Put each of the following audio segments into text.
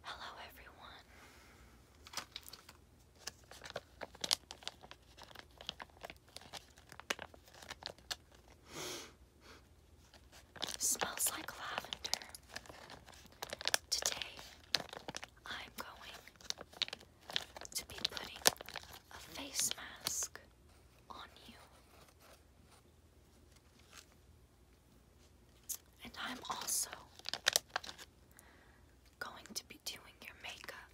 Hello, everyone. Smells like lavender. Today, I'm going to be putting a face mask on you. And I'm also going to be doing your makeup.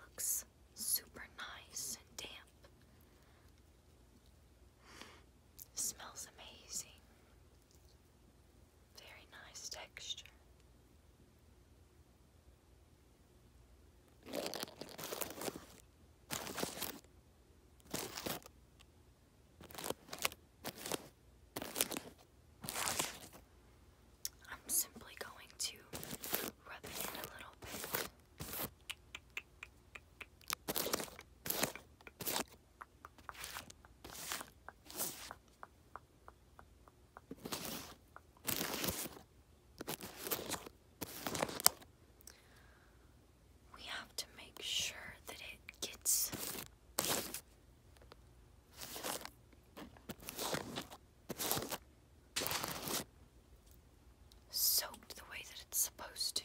Looks super nice and damp. Smells amazing. Very nice texture. I'm simply going to rub it in a little bit. We have to make sure that it gets. Soaked the way that it's supposed to.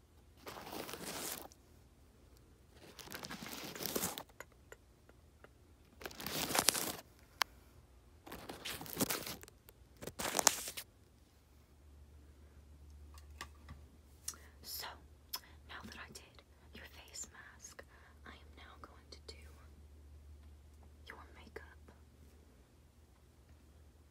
So, now that I did your face mask, I am now going to do your makeup.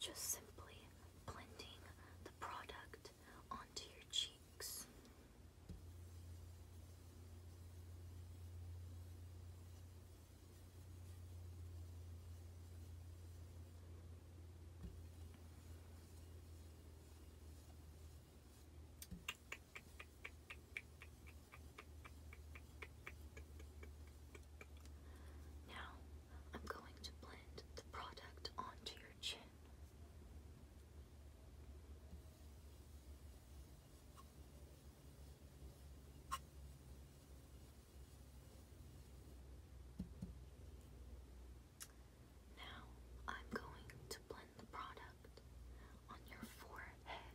Just simply blending the product onto your cheeks. Now, I'm going to blend the product onto your chin. Now, I'm going to blend the product on your forehead.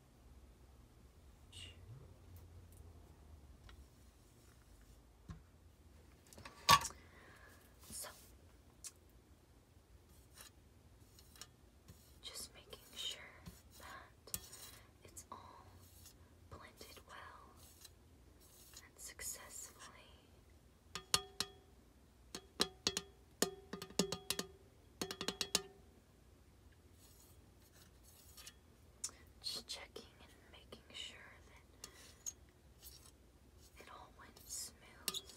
So, just making sure that it's all blended well and successfully. Just checking and making sure that it all went smooth.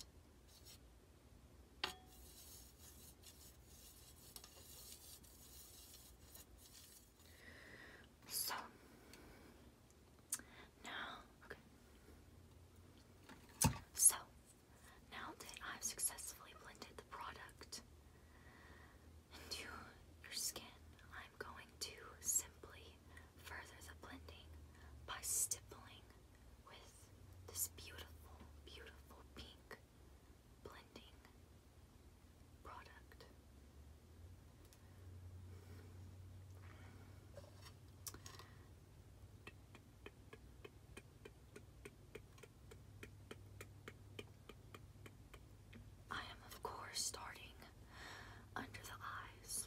So now, So now that I've successfully blended the product into your skin, I'm going to simply further the blending by stippling with this beautiful, beautiful pink blending product. I am, of course, starting under the eyes.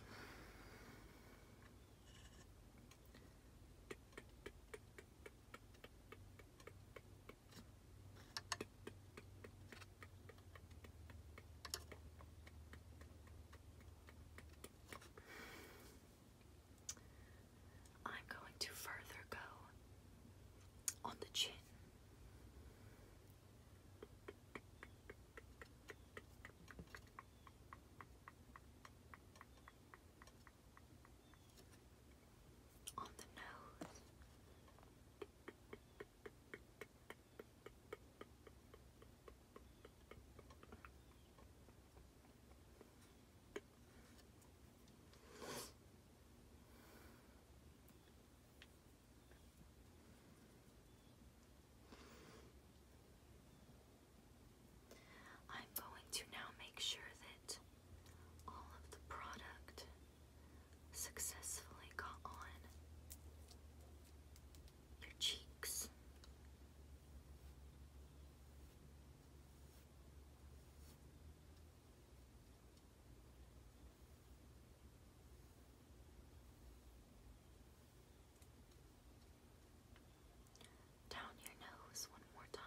I'm going to further go on the chin. On the nose, I'm going to now make sure that all of the product successfully got on your cheeks. Down your nose one more time.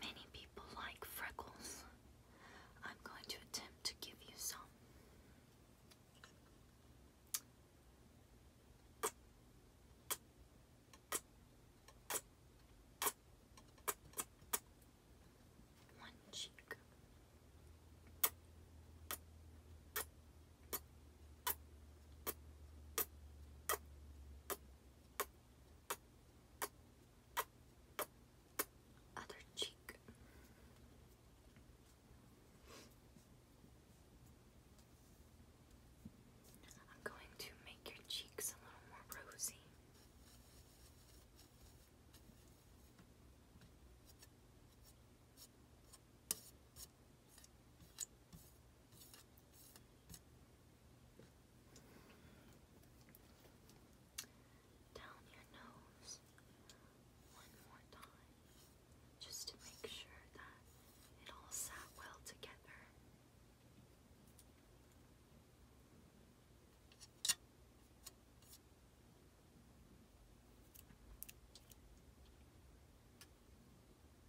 Many people like freckles. I'm going to attempt to give you some. One cheek. Other cheek. I'm going to make your cheeks a little more rosy. Down your nose one more time, just to make sure that it all sat well together.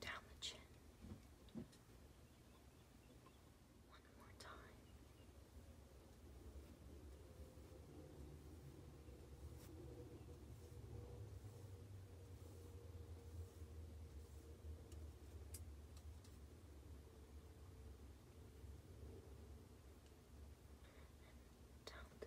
down the chin. One more time. down the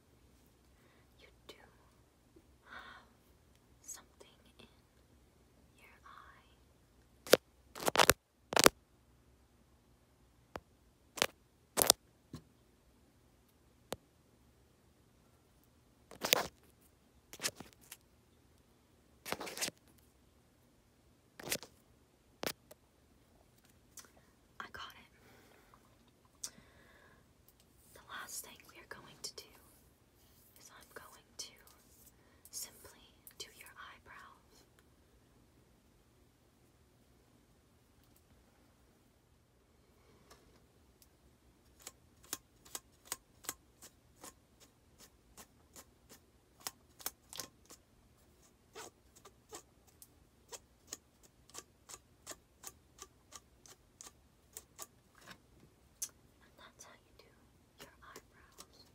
You do have something in your eye. I got it. The last thing we are going to do is I'm going to simply do your eyebrows. And that's how you do your eyebrows.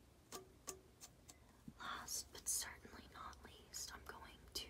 Last but certainly not least, I'm going to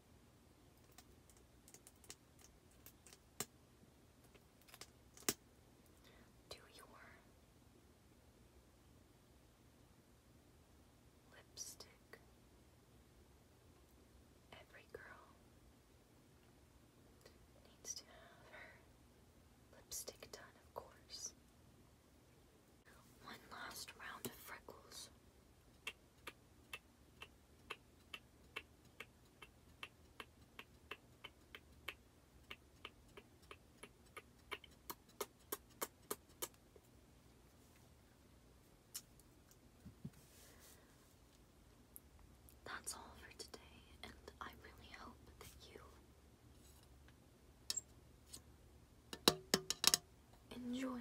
Do your lipstick. Every girl needs to have her lipstick done, of course. One last round of freckles. That's all for today, and I really hope that you enjoy.